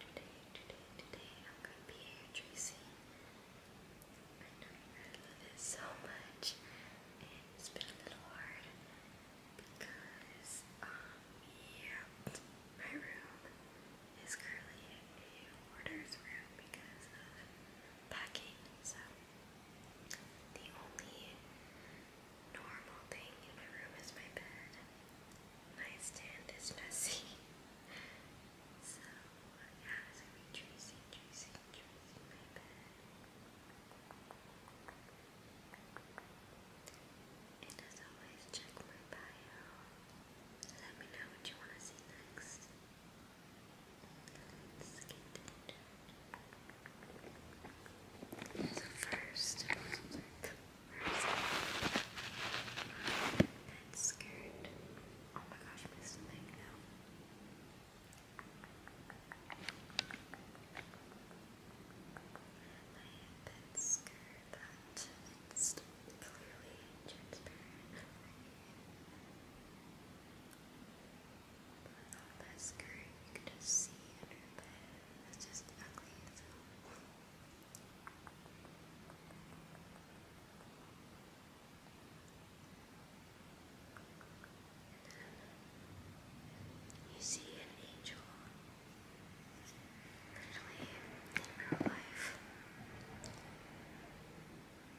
Today, today, today, I'm gonna be here, Tracy. I know you're gonna love it so much. And it's been a little hard because, um, yeah, my room is currently a New Order's room because of packing, so. The only normal thing in my room is my bed. My stand is messy. so, yeah, it's gonna be juicy, juicy, juicy, my bed. And as always, check my bio. Let me know what you want to see next. Let's first, first that skirt. Oh my gosh, missed a thing now. I that skirt that it's clearly transparent. I not that you can just see under her bed. just ugly so. You see an angel literally in real life.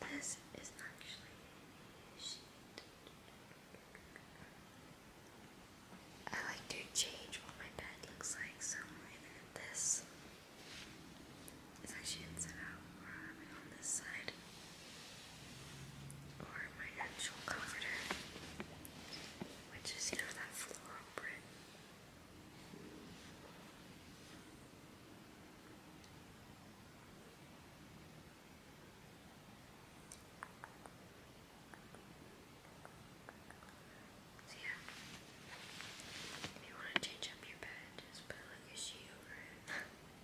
this is actually I like to change what my bed looks like, so this is actually inside out, or i on this side or my actual comforter, which is, you know, that floral print. So yeah, if you want to change up your bed, just put like a sheet over it.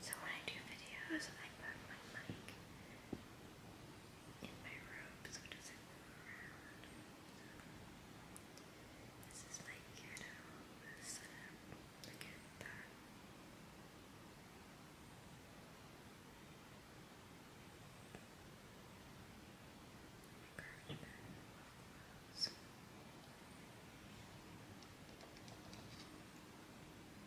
So when I do videos, I put my mic in my robe so it doesn't move around. this is my ghetto setup. Look at that.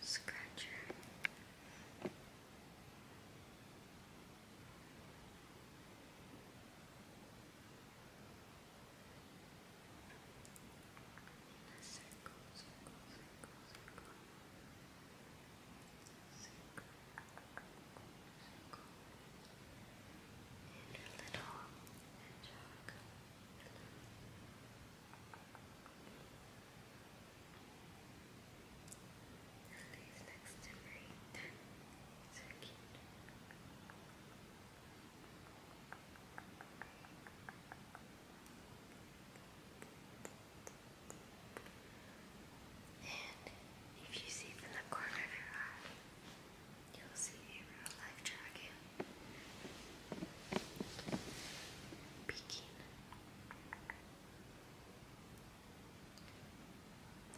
Scratcher. Circle, circle, circle, circle. Circle, circle. And a little hedgehog. Hello. Lily's And if you see from the corner of your eye, you'll see a real life dragon. Peking.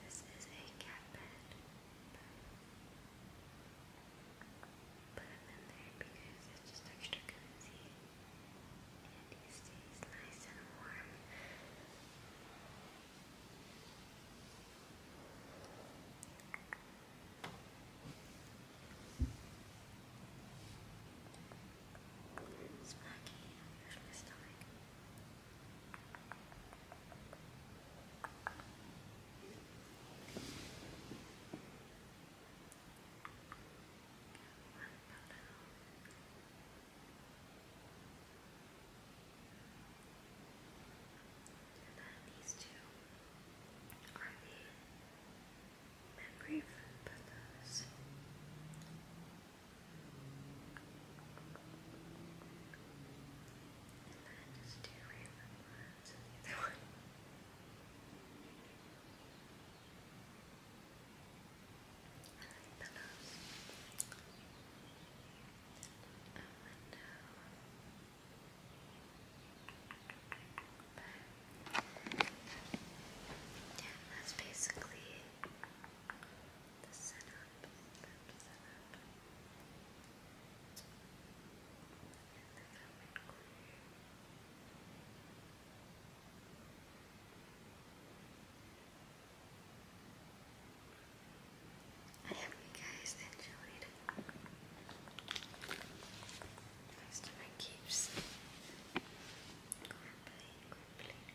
This is a cat bed. Put him in there because it's just extra cozy. And he stays nice and warm. It's you I'm usually And then these two are the memory for Pathos. And then just do random ones and the other one. I like Pathos. Yeah, that's basically the setup. The setup. And then I would I hope you guys enjoyed most of my keeps crumbling, crumbling, crumbling.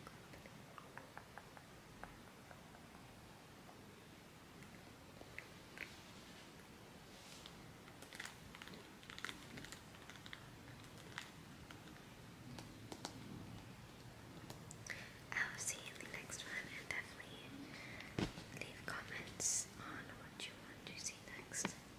I will see you in the next one and definitely leave comments on what you want to see next.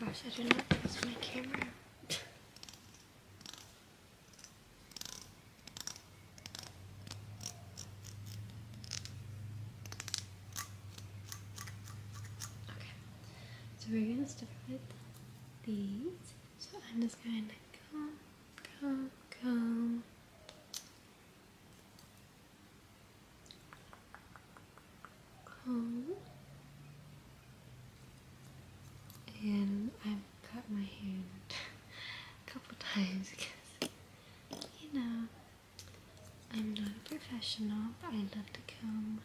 Gosh, I did not place my camera. okay, so we're going to start with these. So I'm just going to comb, comb, comb and I've cut my hand a couple times because, you know, I'm not a professional, I love to comb,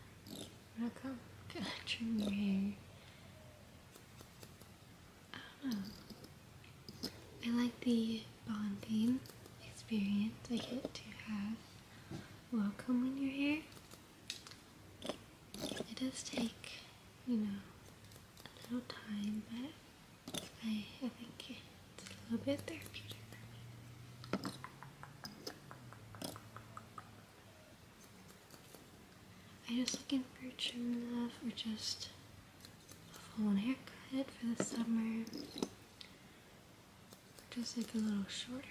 I comb, trim your hair. I don't know. I like the bonding experience I get to have welcome when you're here. It does take, you know, a little time, but I, think it's a little bit therapeutic for me. I'm just looking for trim love or just a full haircut for the summer. Just like a little shorter.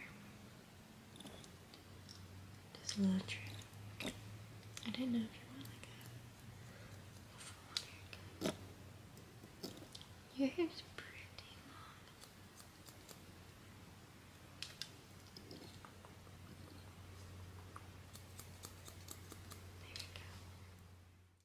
Just a little trim. I didn't know if you wanted Your hair's pretty long. There you go.